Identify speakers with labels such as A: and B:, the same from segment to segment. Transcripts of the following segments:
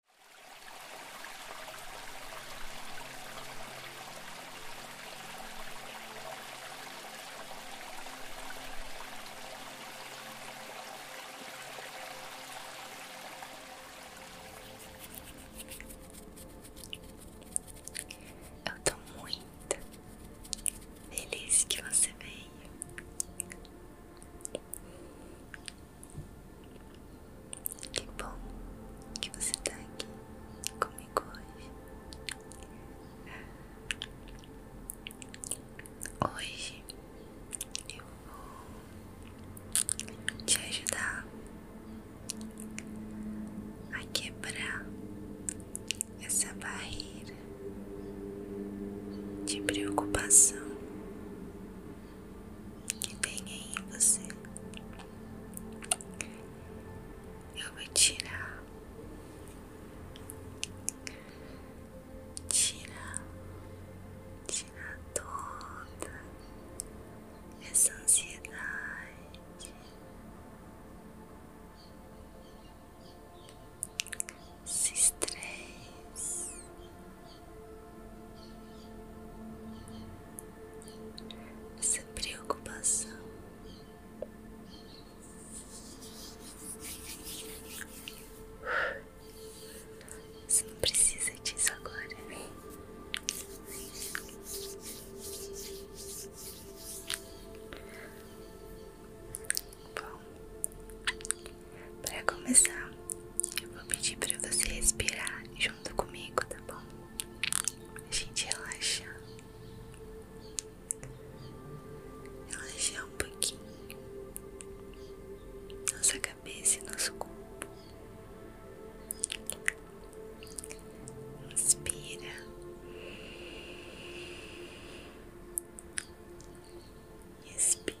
A: Eu estou muito feliz que você veio. Que bom que você tá aqui comigo hoje. Hoje eu vou te ajudar a quebrar essa barreira de preocupação que tem em você. Eu vou tirar, tirar, tirar toda essa ansiedade. Esse estresse, essa preocupação. Você não precisa disso agora. Bom, para começar, eu vou pedir para você respirar junto comigo, tá bom? A gente relaxa. Relaxar um pouquinho. Nossa cabeça e nosso corpo. Inspira. Expira.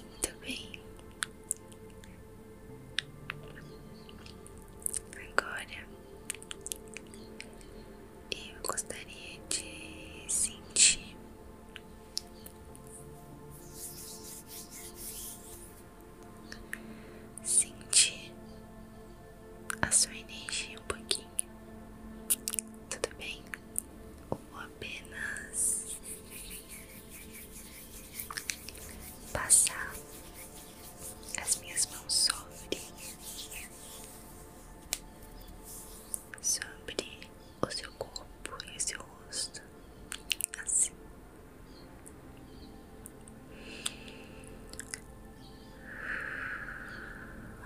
A: Muito bem. Agora eu gostaria de sentir sentir a sua energia um pouquinho. Tudo bem? Ou apenas passar as minhas mãos sobre sobre o seu corpo e o seu rosto, assim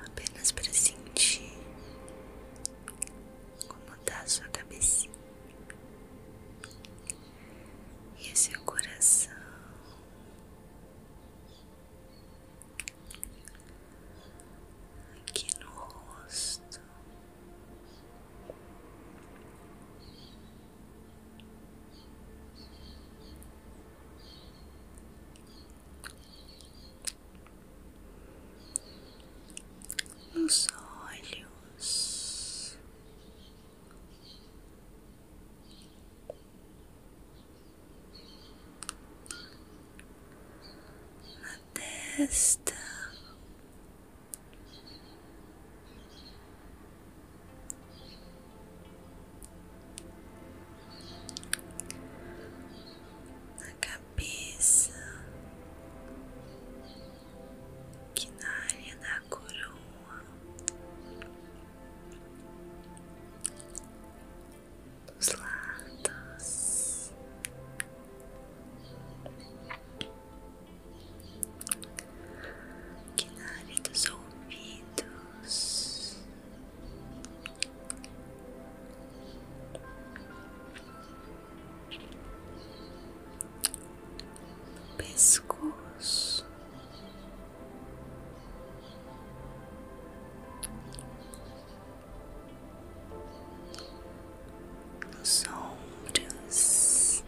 A: apenas para sentir como tá sua cabecinha e seu coração. Aqui no rosto, nos olhos, na testa na cabeça, que na área da coroa, dos lados. Que na área dos ouvidos, pescoço, nos ombros,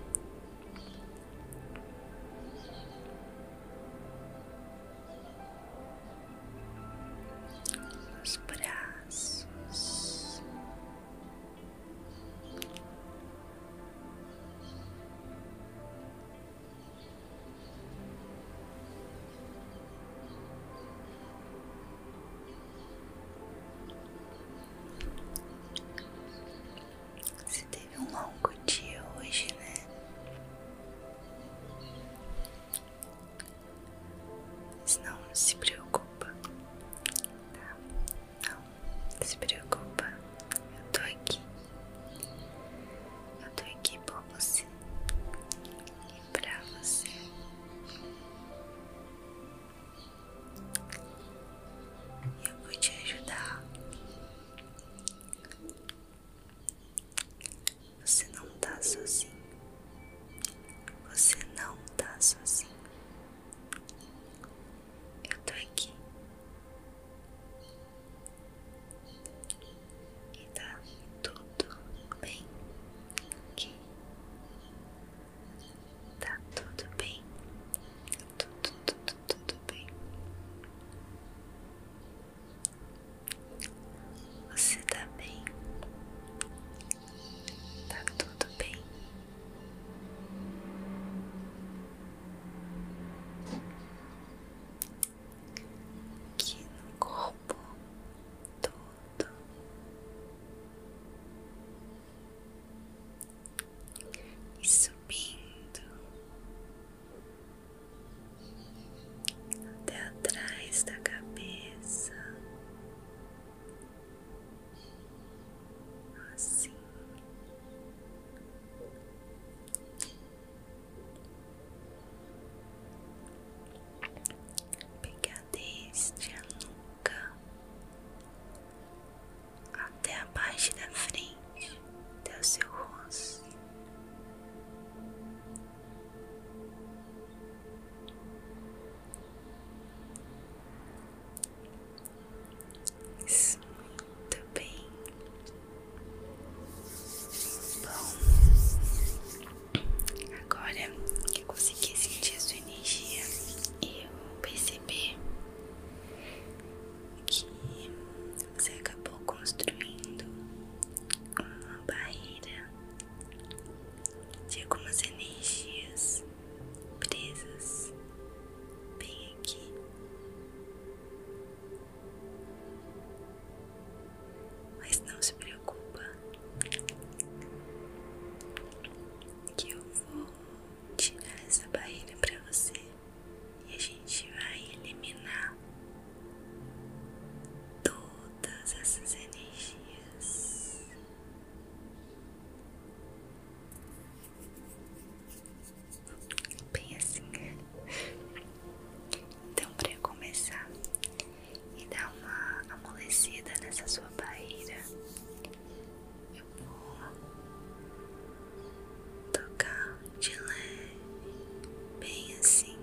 A: os braços, se teve um longo dia hoje, né? Mas não se preocupa, tá? Não se preocupa, eu tô aqui. Eu tô aqui por você e pra você. Eu vou te ajudar. Você não tá sozinho. Você não tá sozinho. Eu tô aqui. E tá tudo bem aqui. Tá tudo bem. Tudo, tudo, tudo bem. Você tá bem? Tá tudo bem? Aqui no corpo todo. E subindo até atrás da cabeça, assim. Pegar desde a nuca até abaixo da frente até o seu rosto. muito bem. Bom, agora que eu consegui sentir sua energia, eu percebi que você acabou construindo uma barreira de algumas energias presas bem aqui. Mas não se preocupa, que eu vou tirar essa barreira para você e a gente vai eliminar todas essas energias. Bem assim. Então, para começar e dar uma amolecida nessa sua barreira, eu vou tocar de leve, bem assim.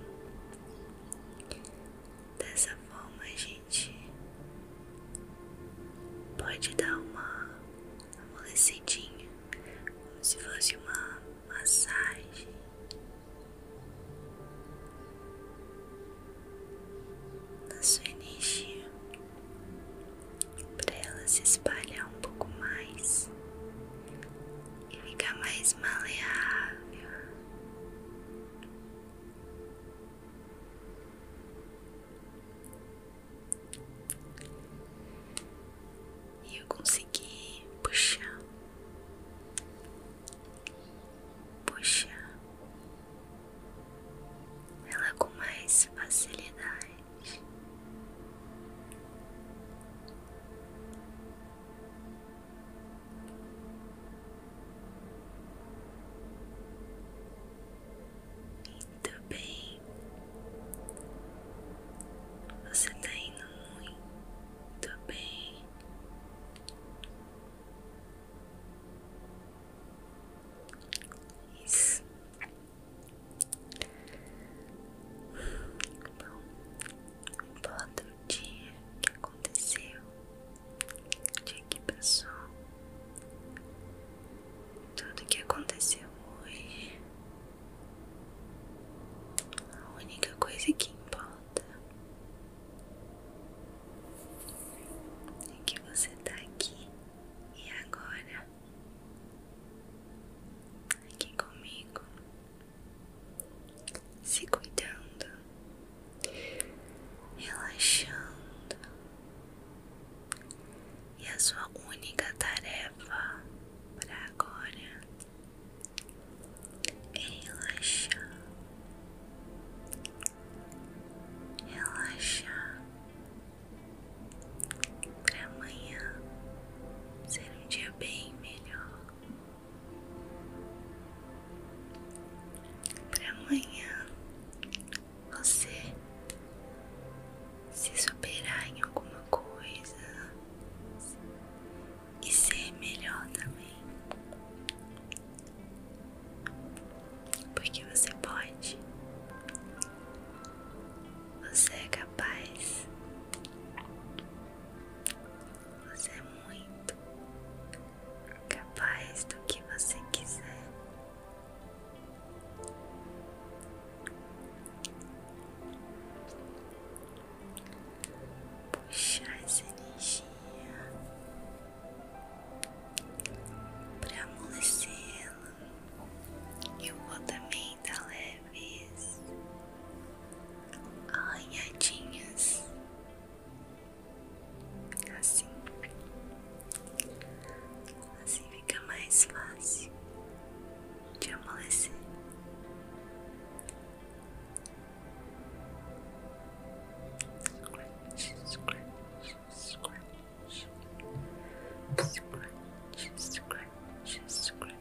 A: Dessa forma a gente pode dar uma amolecidinha, como se fosse uma massagem. Na sua energia, para ela se espalhar um pouco mais e fica mais maleável. E eu consegui puxar, puxar ela com mais facilidade. Muito bem, você tá indo muito bem. Isso. Bota o dia que aconteceu, o dia que passou, tudo que aconteceu hoje. A única coisa que importa é que você tá aqui e agora, aqui comigo se cuidando, relaxando, e a sua única tarefa para agora é relaxar, relaxar para amanhã ser um dia bem melhor. Para amanhã você se superar em alguma coisa e ser melhor também. Porque você pode. Você é capaz. Você é muito capaz do que você quiser. Puxar essa energia para amolecê-la. Eu vou também dar tá leve leves, arranhadinhas, assim, assim fica mais fácil de amolecer. Scratch, scratch, scratch, scratch, scratch,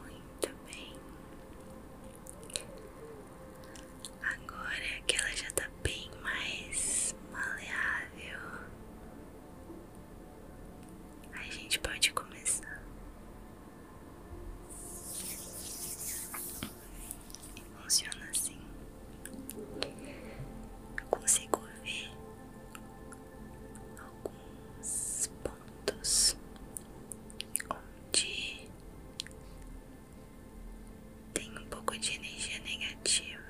A: Muito bem. Agora é que ela já tá bem mais maleável, a gente pode começar. E funciona assim. Eu consigo ver alguns pontos pontos onde tem um pouco de energia negativa,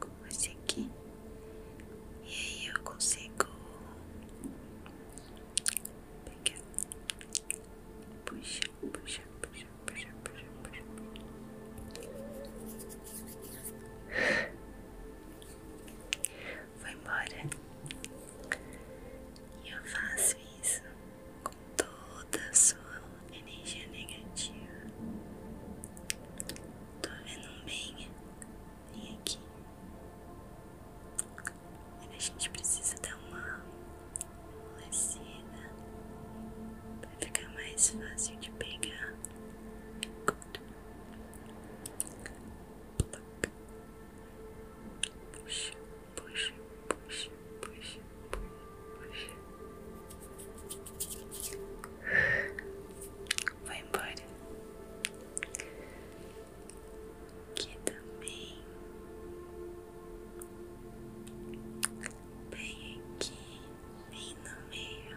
A: como esse aqui, e aí eu consigo puxar, puxar, puxar, puxar, puxar, puxar foi embora. E eu faço isso com toda a sua energia negativa. Tô vendo um bem bem aqui. A gente precisa dar uma amolecida para ficar mais fácil de pegar. Puxa, puxa, puxa, puxa, puxa, puxa. Vai embora. Aqui também. Bem aqui, bem no meio.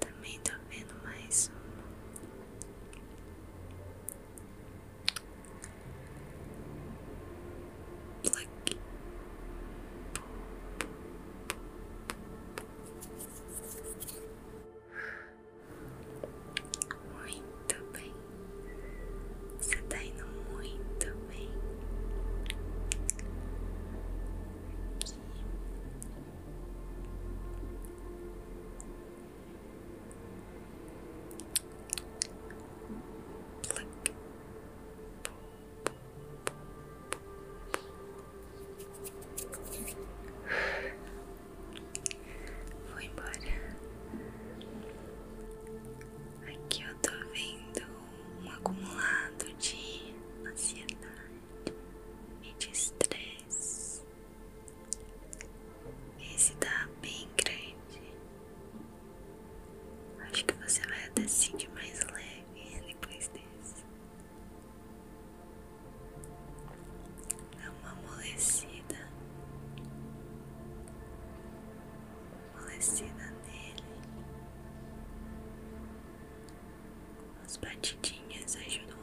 A: Também tô vendo mais um Pluck. Muito bem. Você tá indo muito bem. Aqui. Vou embora. Aqui eu tô vendo um acumulado de ansiedade e de estresse. Esse tá bem grande. Acho que você vai até seguir mais leve depois desse. Dá uma amolecida. Amolecida nele. As batidinhas ajudam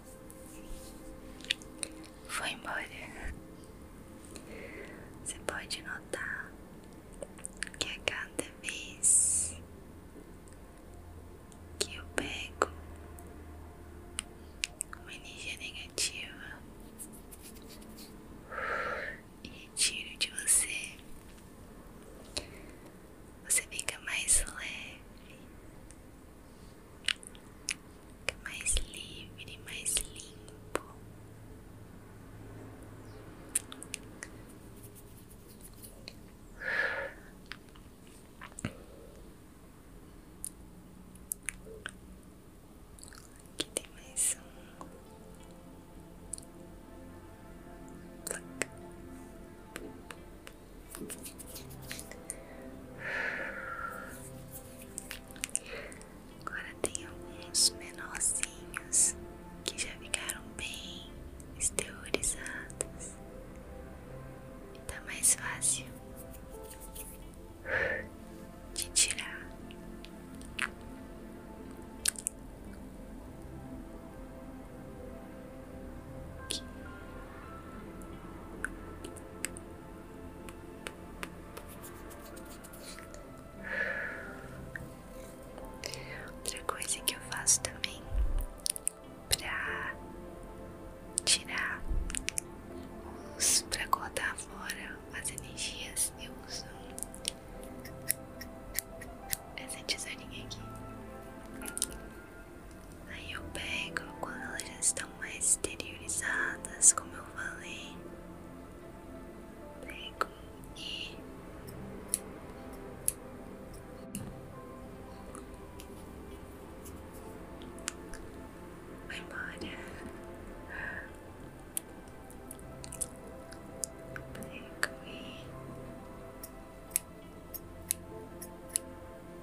A: Foi embora. Você pode notar que a cada vez que eu pego uma energia negativa e retiro de você, você fica mais leve mais livre, mais limpo. Aqui tem mais um. Agora tem alguns menorzinhos que já ficaram bem exteriorizados. Tá mais fácil de tirar. Outra coisa que eu faço também pra tirar os pra cortar fora as energias, eu uso essa tesourinha aqui. Aí eu pego quando elas estão mais exteriorizadas, como eu falei. Pego e vai embora. Pego e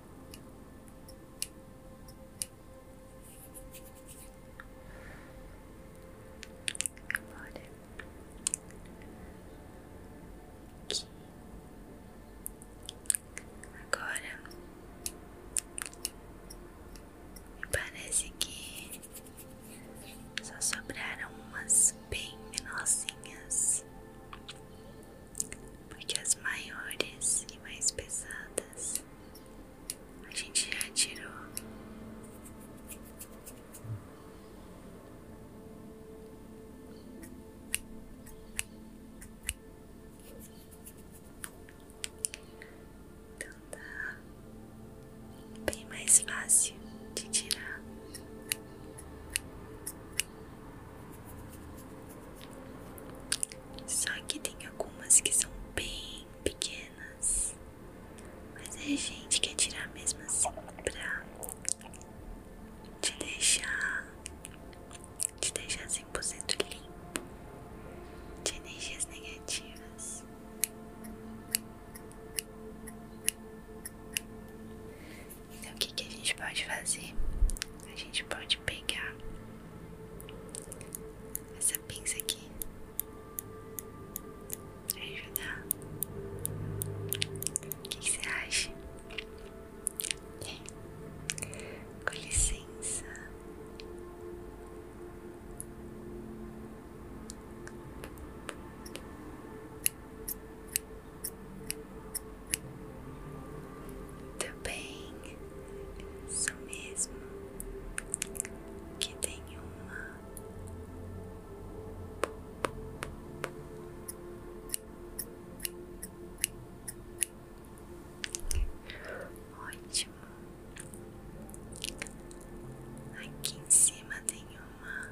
A: Agora Agora me parece que só sobraram umas bem menorzinhas porque as maiores e mais pesadas a gente já tirou. Então tá bem mais fácil de tirar. Só que tem algumas que são bem pequenas. Mas a é gente quer tirar mesmo assim pra te deixar. Te deixar 100% limpo de energias negativas. Então, o que, a gente pode fazer? A gente pode pegar essa pinça aqui pra ajudar. O que você acha? Com licença. Muito tá bem, isso mesmo. Que tem uma ótimo. Aqui em cima tem uma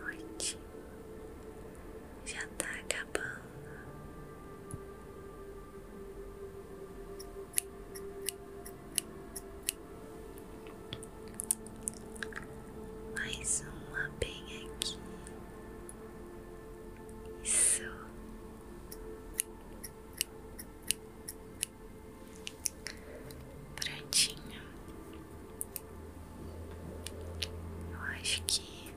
A: Noite já tá acabando. Mais uma bem aqui. Isso. Prontinho. Eu acho que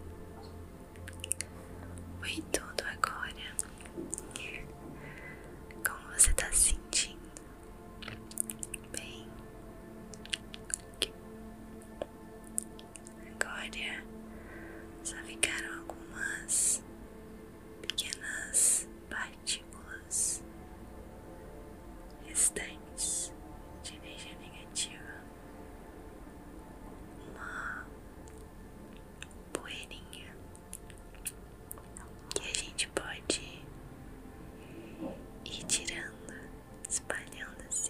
A: foi tudo agora. Como você tá se sentindo? Bem. Agora só ficaram algumas pequenas partículas restantes de energia negativa, uma poeirinha que a gente pode ir tirando, espalhando assim.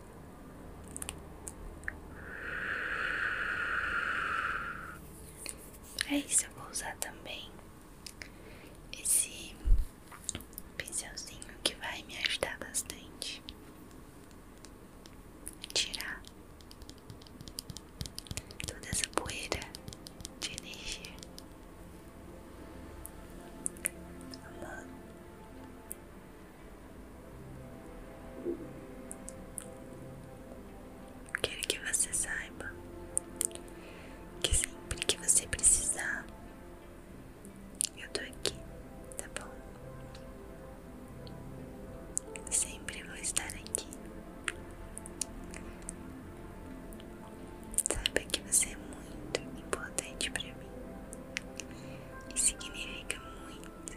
A: É isso eu vou usar também esse pincelzinho que vai me ajudar bastante a tirar toda essa poeira de energia. Quero que você saiba que sempre que você precisar, eu tô aqui, tá bom? Sempre vou estar aqui. Saiba que você é muito importante para mim e significa muito muito,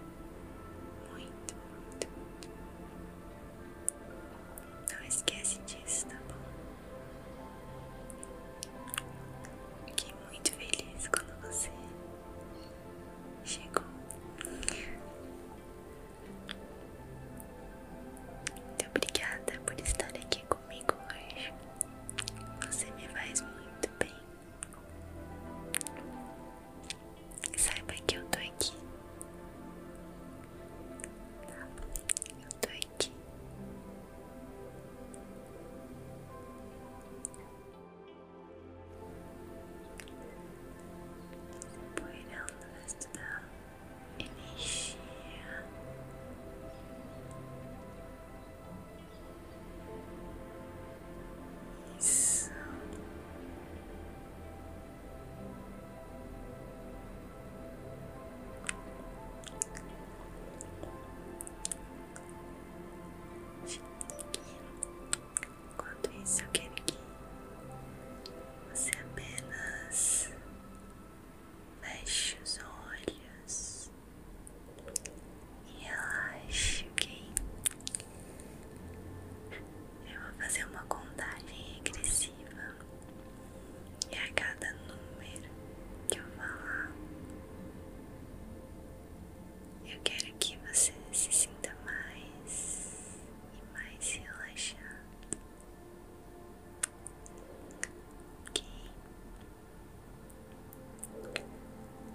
A: muito, muito, Não esquece disso, tá bom? Fiquei muito feliz quando você chegou. Muito obrigada por estar aqui comigo hoje. Você me faz muito bem. Saiba que eu tô aqui. Eu tô aqui. Poirando esta energia isso. Enquanto isso, eu quero que você apenas feche os olhos e relaxe, ok? Eu vou fazer uma contagem regressiva e a cada número que eu falar, eu quero que você se sinta mais e mais relaxado, ok?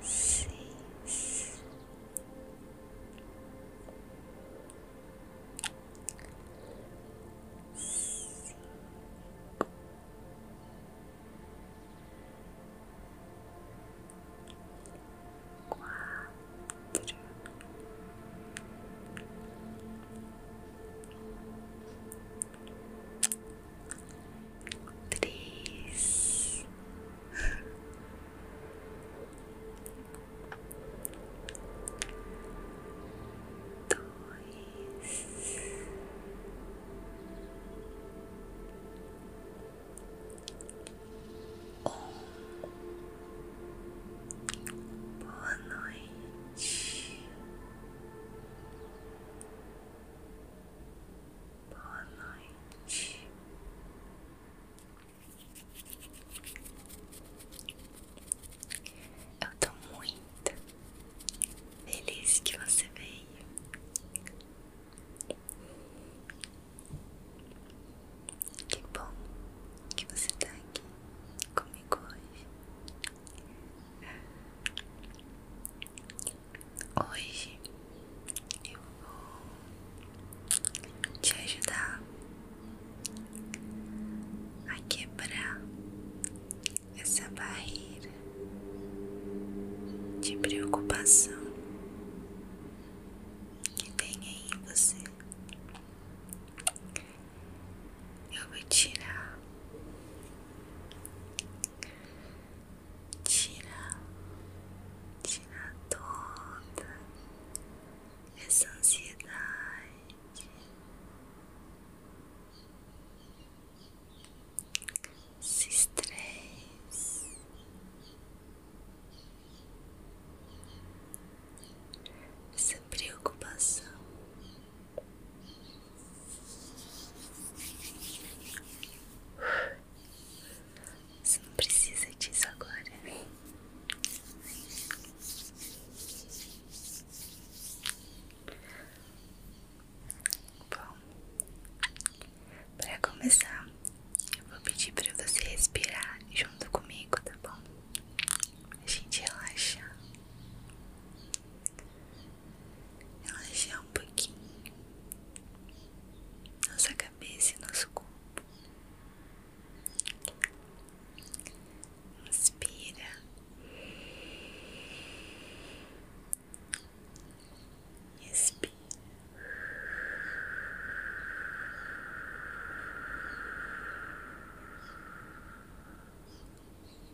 A: seis, cinco, quatro. Três, três, dois, um. Boa noite. Boa noite. Eu tô muito feliz que você veio. Que bom que você tá aqui comigo hoje. Hoje eu vou te ajudar a quebrar essa barreira de preocupação que tem aí em você. Eu vou tirar Tira, tira toda essa ansiedade. Esse estresse. Essa preocupação. Você não precisa disso agora. Bom, para começar, eu vou pedir para você respirar junto comigo, tá bom? A gente relaxa relaxar é um pouquinho nossa cabeça e nosso corpo. Inspira expira.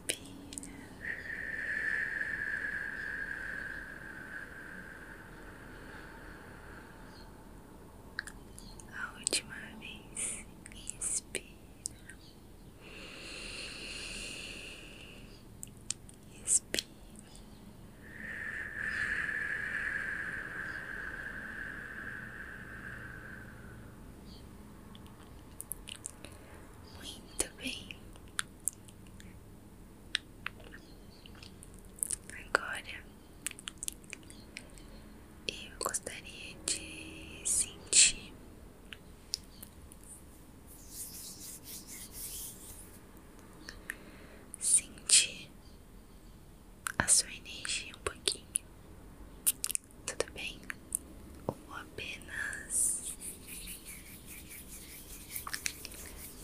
A: Respira. A última vez. Respira. Respira. Muito bem, Agora eu gostaria de sentir sentir a sua energia um pouquinho. Tudo bem? vou apenas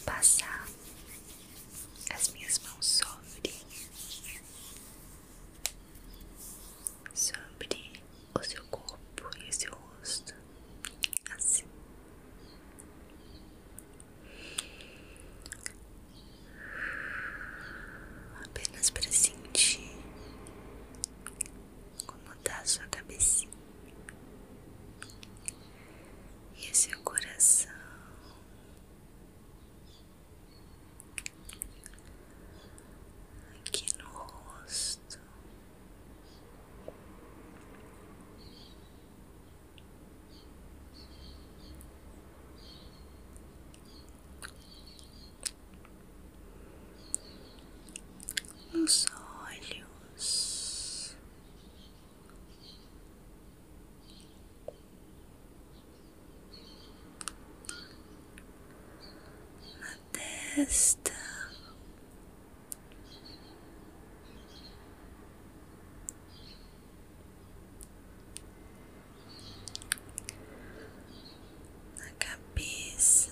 A: passar as minhas mãos sobre sobre o seu corpo e o seu rosto assim apenas para sentir como tá sua cabecinha e seu coração. Aqui no rosto, nos olhos, nós. Na testa. na cabeça,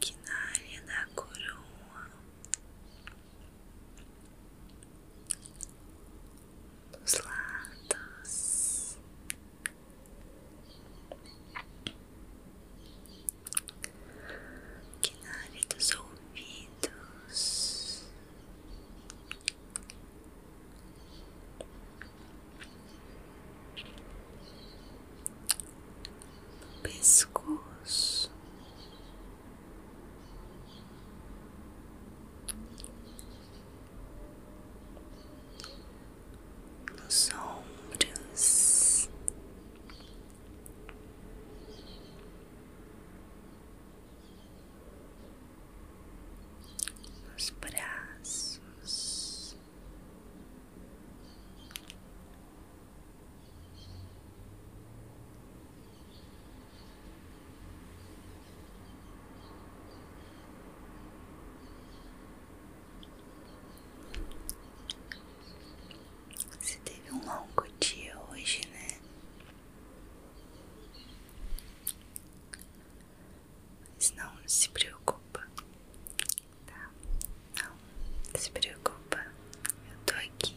A: que na área da coroa dos lados que na área dos ouvidos no pescoço, nos ombros. Nos braços, você teve um longo dia hoje, né? Mas não se preocupa, tá? Não se preocupa, eu tô aqui.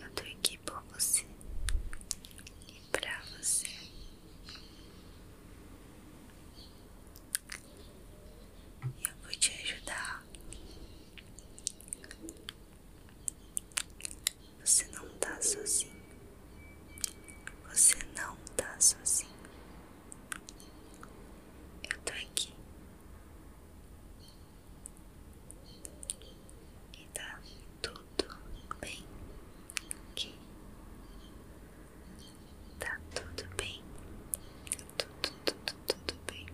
A: Eu tô aqui por você e pra você. Eu vou te ajudar. Você não tá sozinho. Você não tá sozinho. Eu tô aqui. E tá tudo bem aqui. Tá tudo bem. Tudo, tudo, tudo bem.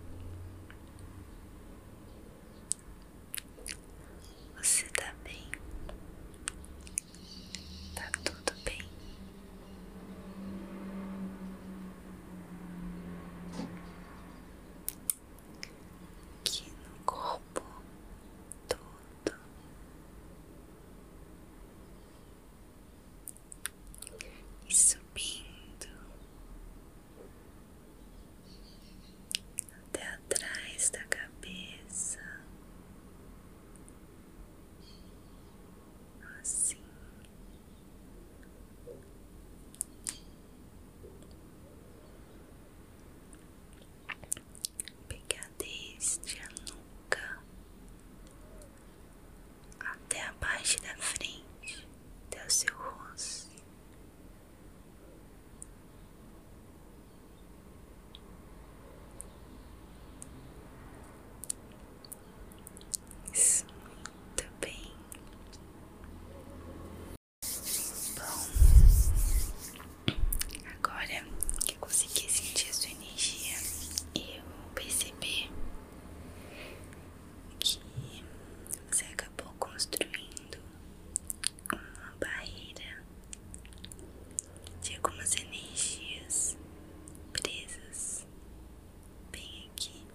A: Você tá bem. Tá tudo bem. Aqui no corpo todo. E subindo até atrás da cabeça assim, pegar desde a nuca até a parte da frente, até o seu rosto. Isso, muito bem. Bom, agora que eu consegui sentir a sua energia, eu percebi que você acabou construindo uma barreira de algumas energias presas bem aqui.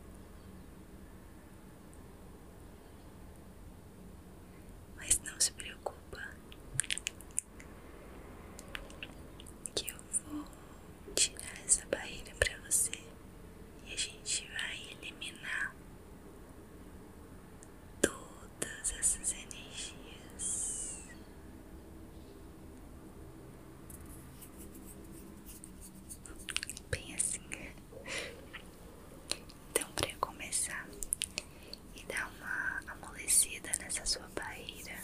A: Mas não se preocupa, que eu vou tirar essa barreira para você e a gente vai eliminar todas essas energias Bem assim. Então, para começar, e dar uma amolecida nessa sua barreira,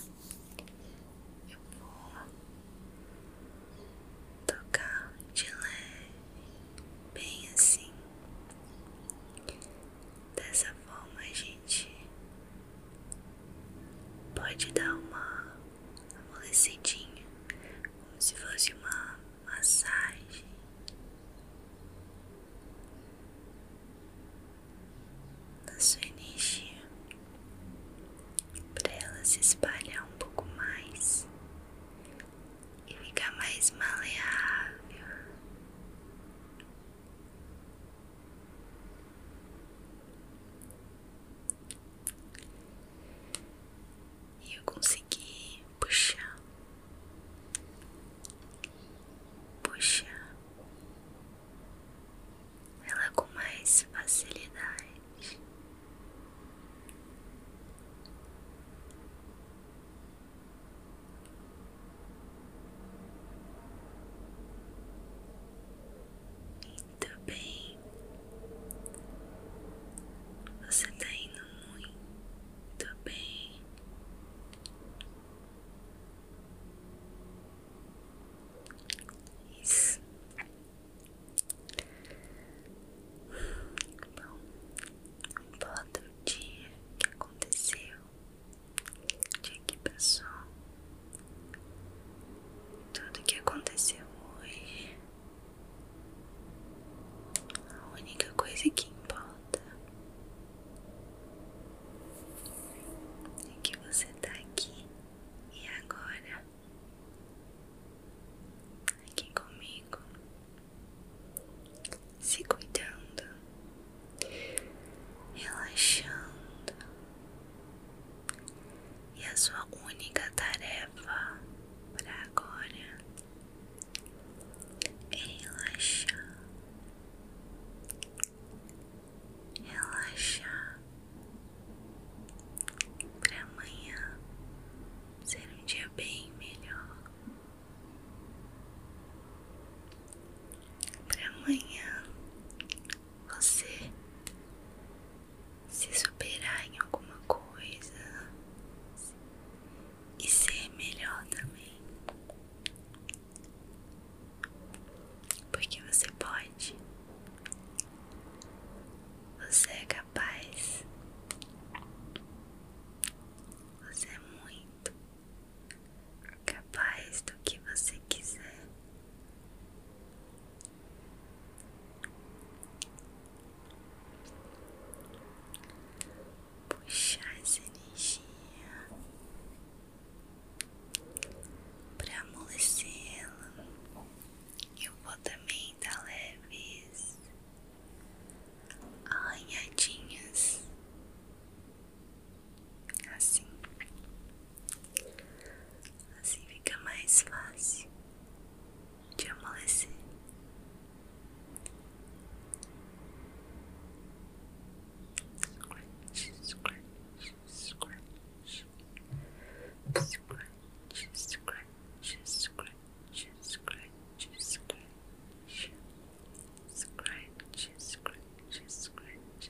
A: eu vou tocar de leve, bem assim. Dessa forma a gente gente pode dar uma amolecidinha, como se fosse uma massagem. Na sua energia, para ela se espalhar um pouco mais e ficar mais maleável, e eu consegui puxar, puxar ela com mais facilidade. Muito tá bem. Você tá indo muito bem. Isso. Bom, não importa o dia que aconteceu, tudo que passou, tudo que aconteceu hoje. A única coisa que importa é que você tá aqui e agora, aqui comigo, se cuidando, relaxando. E a sua única tarefa para agora é relaxar, relaxar para amanhã ser um dia bem melhor. Para amanhã você se superar em alguma coisa e ser melhor também. Porque você pode, você é capaz, você é muito capaz do que você quiser puxar essa energia para amolecê-la. Eu vou também dar leves arranhadinhas assim. Assim fica mais fácil de amolecer. Scratch, scratch, scratch, scratch, scratch, scratch, scratch, scratch. Scratch, scratch, scratch,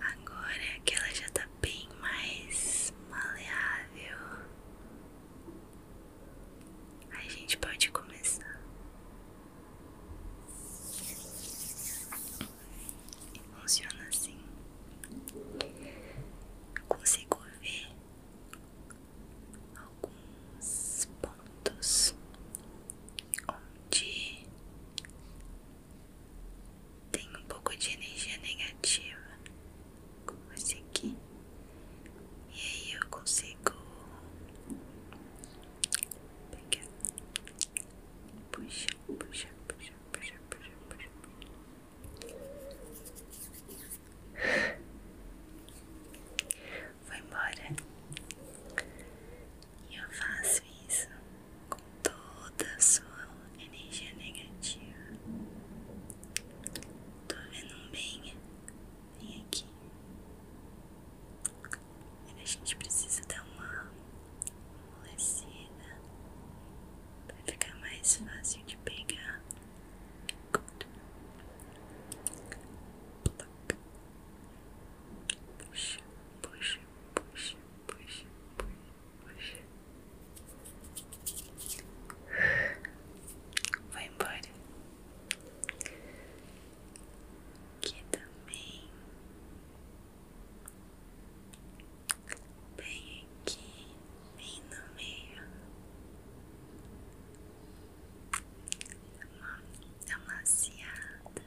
A: Agora é que ela já tá bem mais maleável, a gente pode começar. funciona assim. Eu consigo ver alguns pontos onde tenho um pouco de energia negativa, como esse aqui, e aí eu consigo pegar, puxar, puxar, puxar, puxar, puxar, puxar. Foi embora. E eu faço isso com toda a sua energia negativa. Tô vendo bem, vem aqui. a gente precisa dar uma amolecida para ficar mais fácil de pegar. Puxa, puxa, puxa, puxa, puxa. Vai embora. Que também bem aqui, bem no meio. Uma amaciada.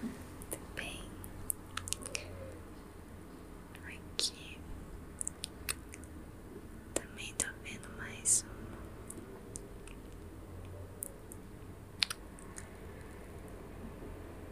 A: Muito bem. Aqui também tô vendo mais uma.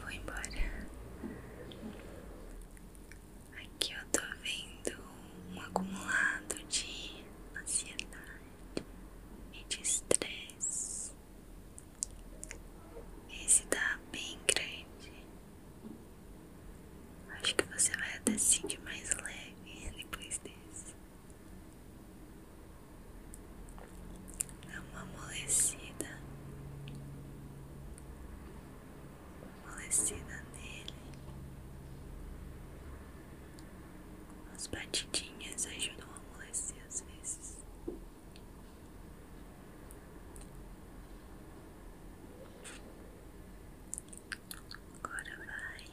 A: Vou embora. Aqui eu tô vendo um acumulado de ansiedade e de estresse. Esse tá bem grande. Acho que você vai até se sentir mais leve depois desse. É uma amolecida. Amolecida nele. As batidinhas ajudam a amolecer às vezes. Agora vai.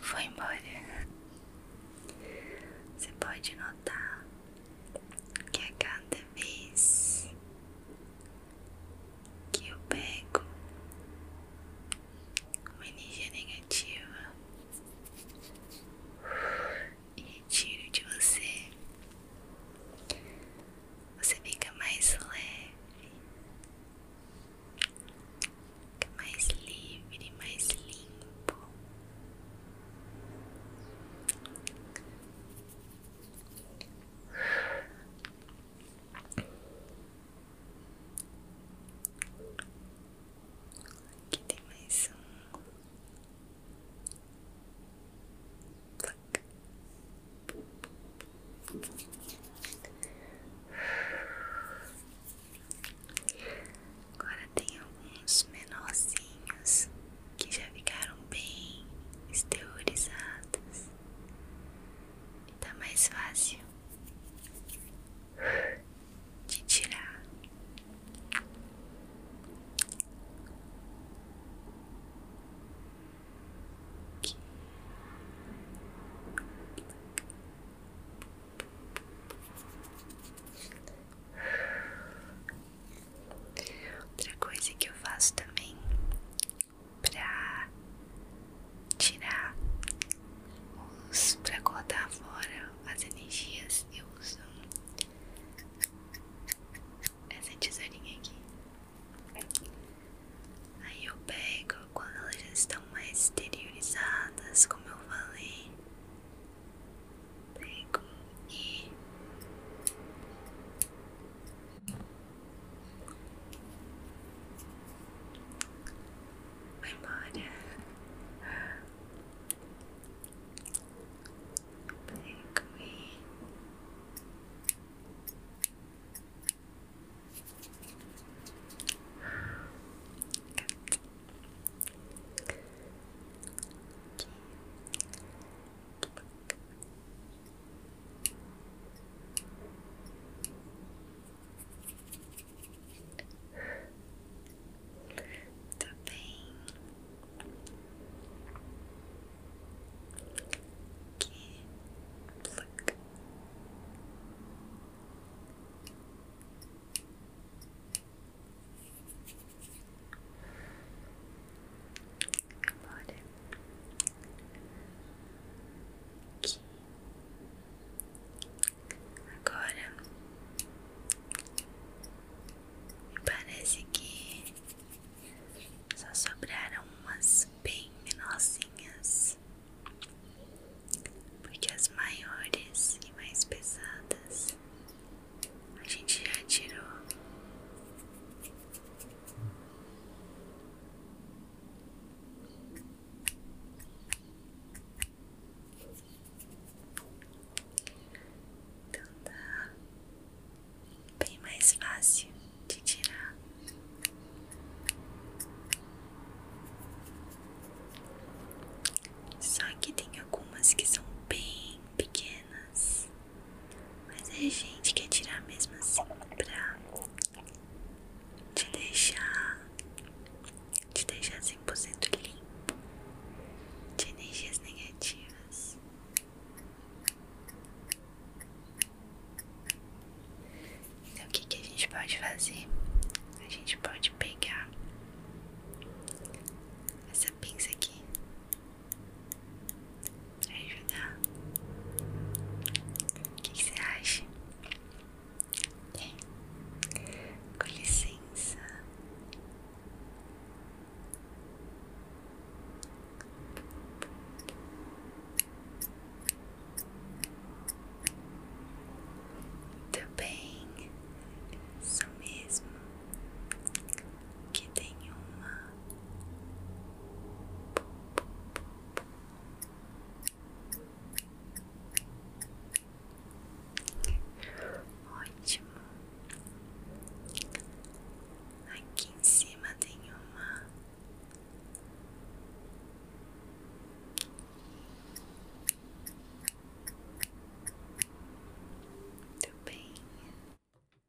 A: Foi embora. Você pode notar que a é cada vez que eu pego uma energia negativa e retiro de você, você fica mais leve, fica mais livre, mais limpo. Aqui tem mais um. Agora tem alguns menorzinhos que já ficaram bem exteriorizadas e tá mais fácil de tirar. Outra coisa que eu faço também pra tirar os. pra cortar fora as energias, eu uso essa tesourinha aqui. Aí eu pego quando elas já estão mais exteriorizadas, como eu falei. Bregoni. My mod. Bregoni. Okay. Tá bem. Aqui. Pluck. Aqui. Agora Agora me parece que só sobraram umas bem menorzinhas, porque as maiores e mais pesadas a gente já tirou então tá bem mais fácil de tirar. Só que tem algumas que são bem pequenas. Mas a é gente quer tirar mesmo assim pra te deixar te deixar 100% limpo de energias negativas. Então, o que, que a gente pode fazer? A gente pode pegar essa pinça aqui Pra ajudar. O que, que você acha? com licença. Muito bem, isso mesmo. Que tem uma Ótimo. Aqui em cima tem uma. Muito bem.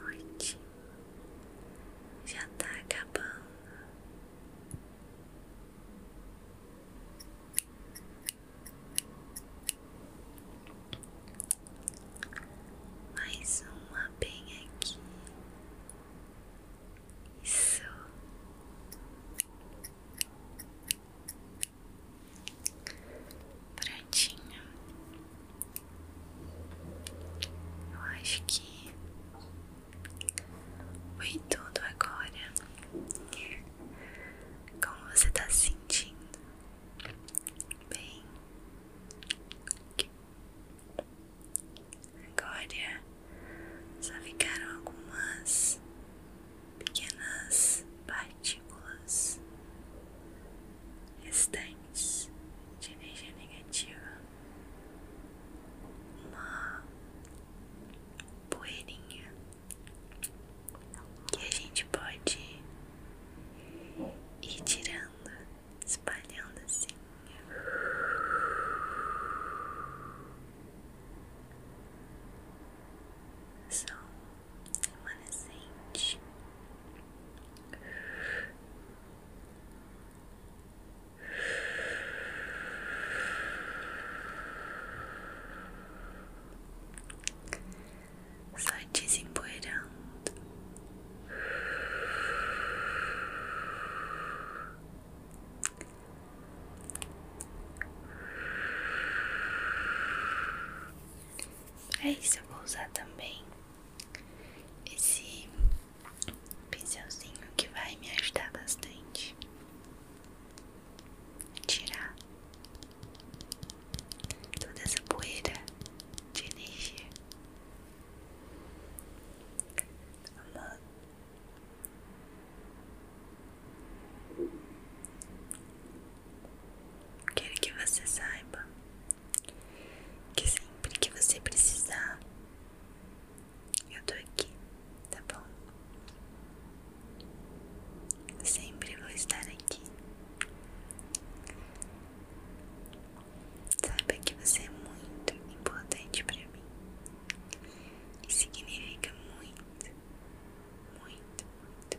A: noite já tá acabando. Mais uma bem aqui. Isso. Prontinho. Eu acho que foi tudo agora. Como você está se sentindo? Bem, agora só ficaram algumas pequenas partículas restantes de energia negativa uma poeirinha que a gente pode ir tirando, espalhando assim. Sol remanescente só desempoeirando. É isso eu vou usar também esse pincelzinho que vai me ajudar bastante a tirar toda essa poeira de energia. Vamos Quero que você saiba que sempre que você precisar, eu tô aqui, tá bom? sempre vou estar aqui. sabe que você é muito importante para mim. E significa muito, muito, muito, muito.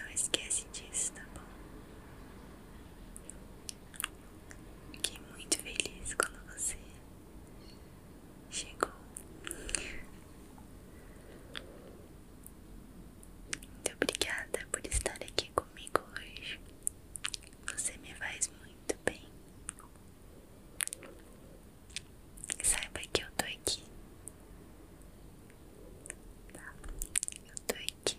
A: Não esquece disso, tá bom? Fiquei muito feliz quando você chegou. Muito obrigada por estar aqui comigo hoje. Você me faz muito bem. Saiba que eu tô aqui. Tá? Eu tô aqui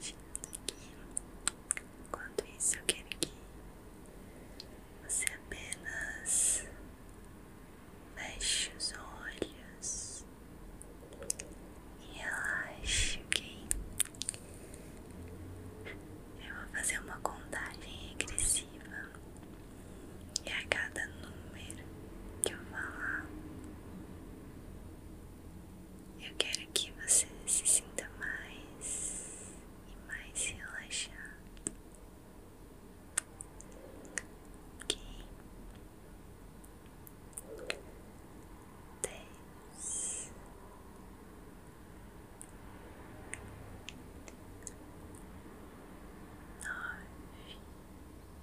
A: aqui. Enquanto isso, eu quero que você apenas feche os olhos e relaxe, ok? Eu vou fazer uma contagem regressiva e a cada número que eu falar, eu quero que você se sinta mais e mais relaxado. Ok? Dez. Nove.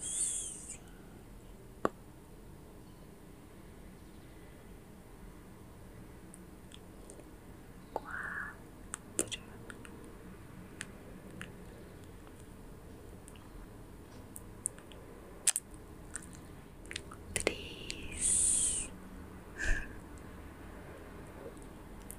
A: Cinco. Quatro. Três,